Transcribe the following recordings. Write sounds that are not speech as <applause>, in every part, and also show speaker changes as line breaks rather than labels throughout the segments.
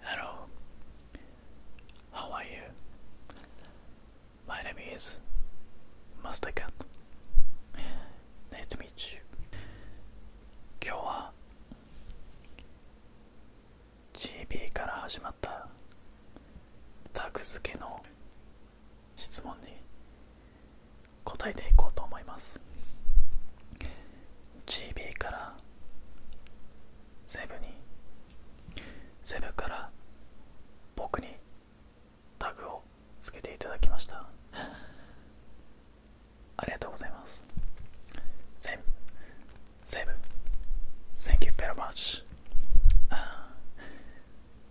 Hello, how are you? My name is Master Cat. Nice to meet you. 今日は GB から始まったタグ付けの質問に答えていこうと思います GB からセブにセブから僕にタグをつけていただきましたありがとうございますセブセブ Thank you v e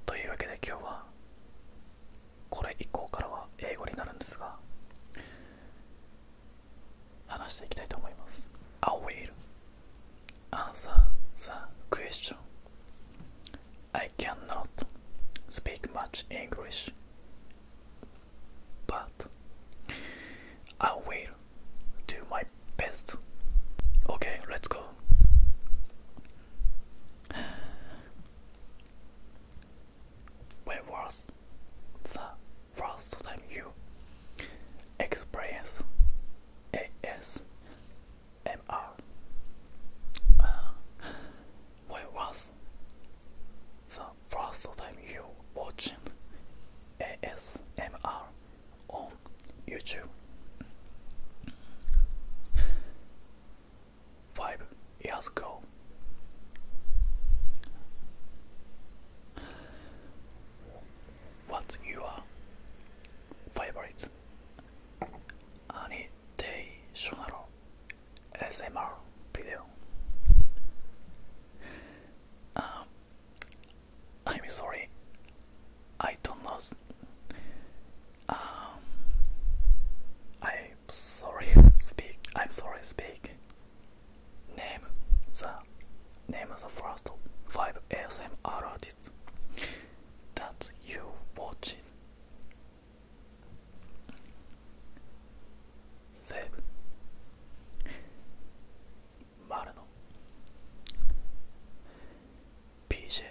というわけで今日はこれ以降からは英語になるんですが話していきたいと思います I will answer the question I cannot speak much English but I will do my best Okay, let's go Where was the first time you experienced ASMR? Uh, where was the first time you watching ASMR on YouTube. 5 years ago. what What's your favorite annotational SMR video? Um, I'm sorry, I don't know. Um, I'm sorry. <laughs> Speak. I'm sorry. Speak. Name the name of the first five ASMR artists that you watched. Save. あるの PJ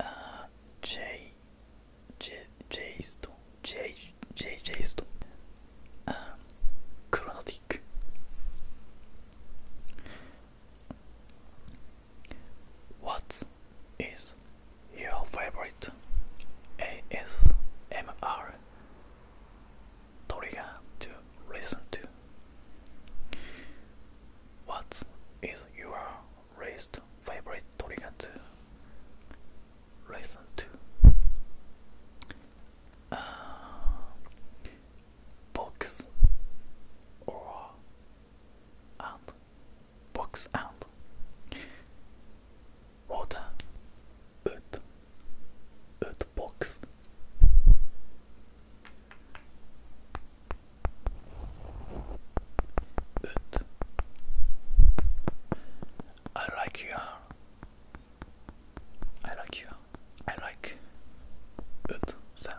あ J J J スト J J J ストあクロノティック What is your favorite ASMR trigger to listen to. What is your least favorite trigger to listen to? Uh, books box or and box and water ut, utboxen. Ut. I like you. I like you. I like ut sound.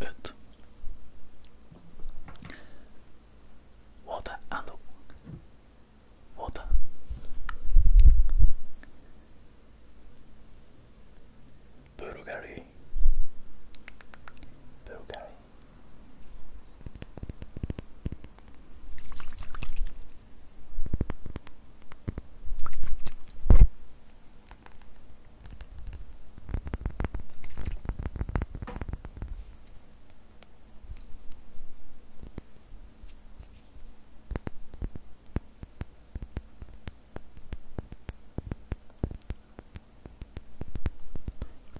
ut. Water and water. Bulgari. Bulgari.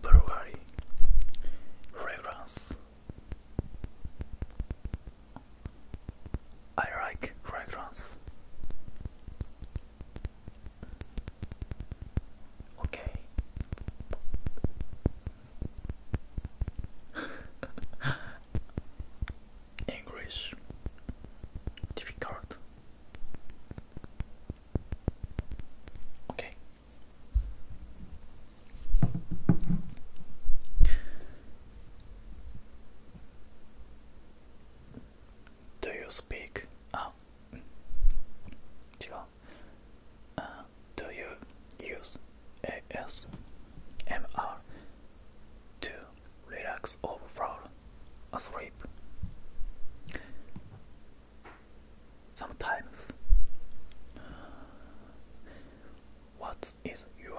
Bulgari fragrance. I like fragrance. Okay. <laughs> English difficult. Okay. Do you speak? あ、違う。Uh, ah. ah. do you use ASMR to relax or fall asleep? Sometimes. What is your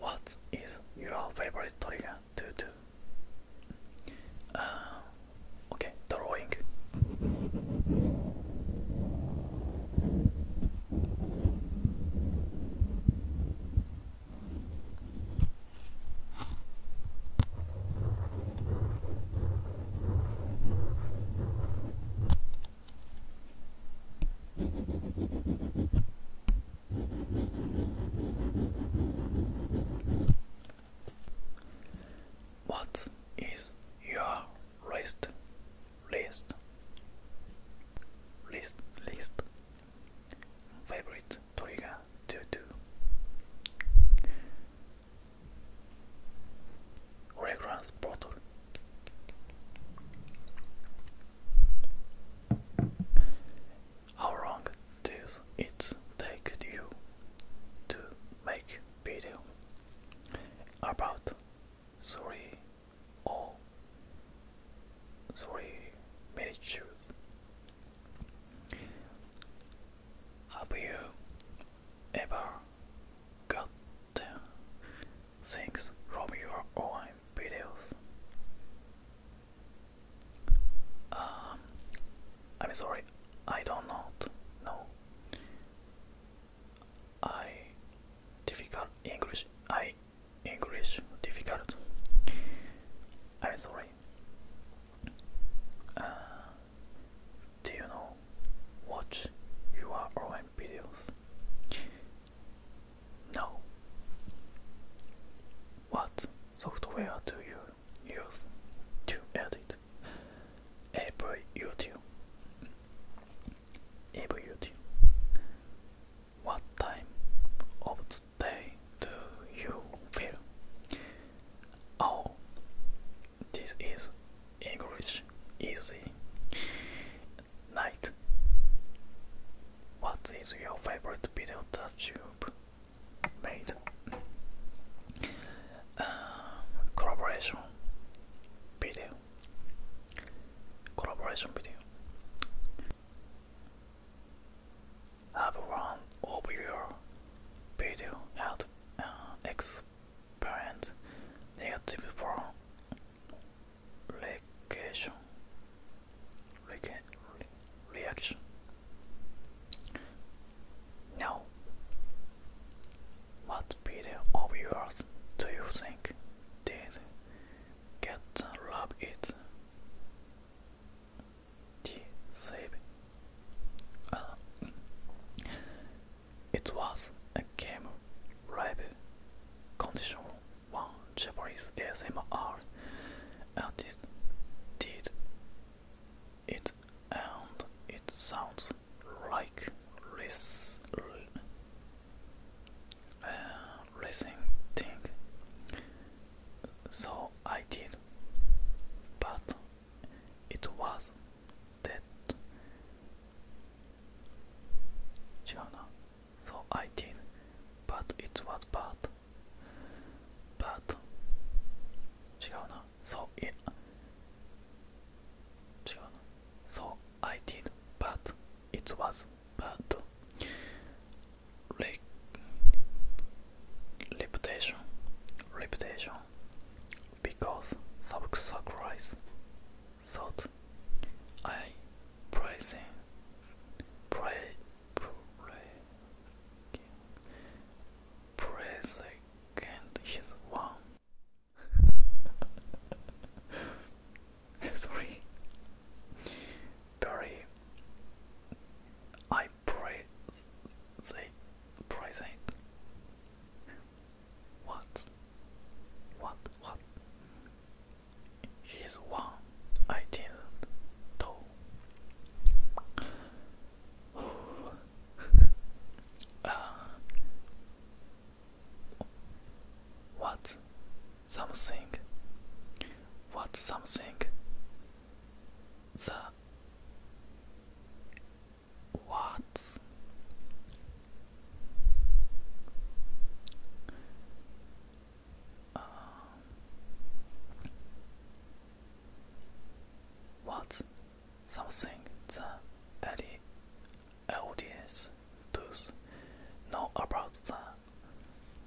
What is your favorite trigger to do? Uh, okay, drawing. What is your list? List. List. List. Favorite trigger to do. Fragrance bottle. How long does it take you to make video? About three or three minutes. Have you ever gotten Thanks from your own videos. Um, I'm sorry, I don't not know. I difficult English. I English difficult. I'm sorry. Uh, do you know what you are on videos. No. What software do you use to edit? Every YouTube. Every YouTube. What time of the day do you feel? Oh, this is English easy night. What is your favorite video that you've made? Um, collaboration video. Collaboration video. Have one of your video had uh, negative from reaction reaction now what video of yours do you think did get the it D save uh, it was a game rap condition one Japanese S M R artist did it and it sounds like this. Uh, racing thing so I did but it was dead. So I did, but it was bad. But, 違うな So it, 違うな So I did, but it was bad. reputation, reputation, because Sabuk Sakurai thought I praising pray, pray, praise and his one. <laughs> Sorry, very. I pray they present what? What? What? He's one I didn't know. <sighs> Uh, what? Something? What something? The watts. Um, what's something the audience does know about the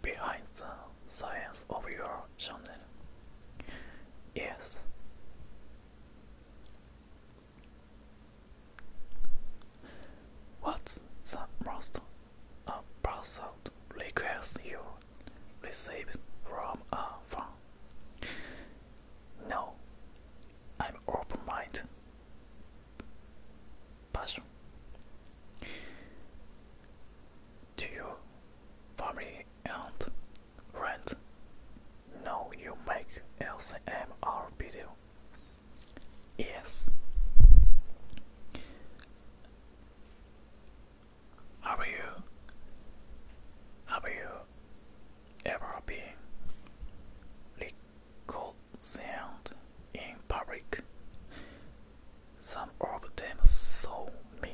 behind the science of your channel? Yes, What's the most a person request you received from a uh, friend. No, I'm open-minded. Passion. To your family and Rent. No, you make LCMR video. Yes. Have you? Have you ever been reconciled in public? Some of them saw me.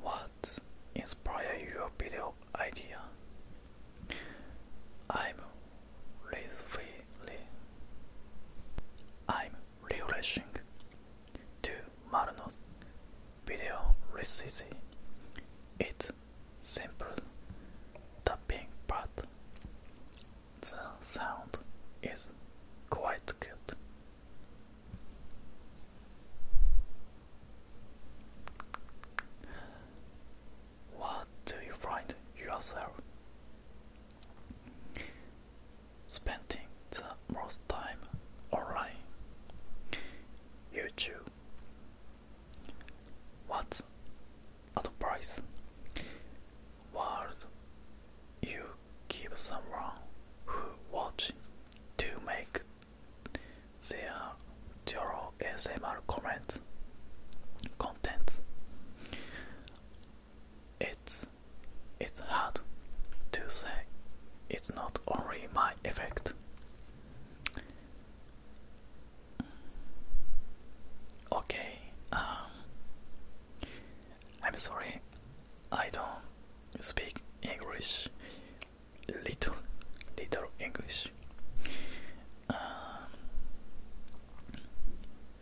What inspired your video idea? I'm really, I'm relishing to Marno's video recipe. It's simple, tapping, but the sound is quite good. What do you find yourself spending the most time online? YouTube. What's advice. What you give someone who watches to make their general ASMR comments contents. It's it's hard to say it's not only my effect. Okay, um, I'm sorry, I don't speak English. Little, little English. Um,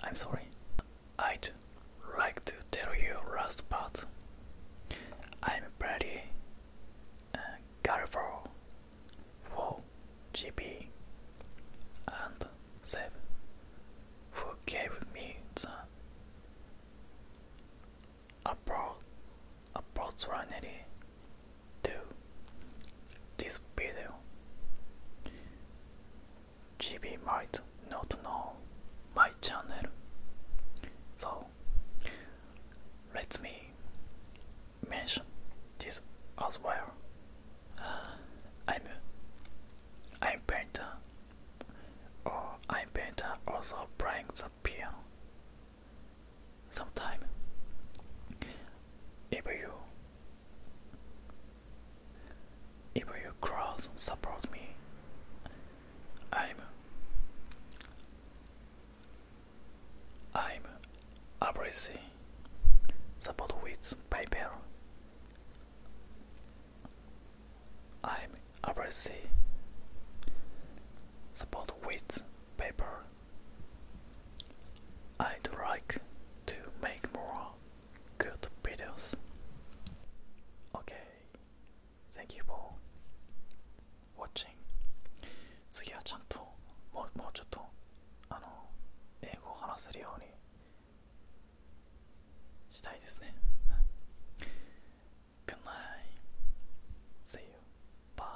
I'm sorry. I'd like to tell you last part. I'm pretty careful. Uh, grateful GB and Seb who gave me the opportunity to this video. GB might not know my channel, so let me mention this as well. <sighs> I'm I'm painter or I'm painter also playing the piano sometime if you if you cross support me I'm I'm appreciate Support with paper. I'm Abrasi. Support with paper. I'd like to make more good videos. Okay, thank you for watching. 次はちゃんともう,もうちょっとあの英語を話せるようにしたいですね Good night See you Bye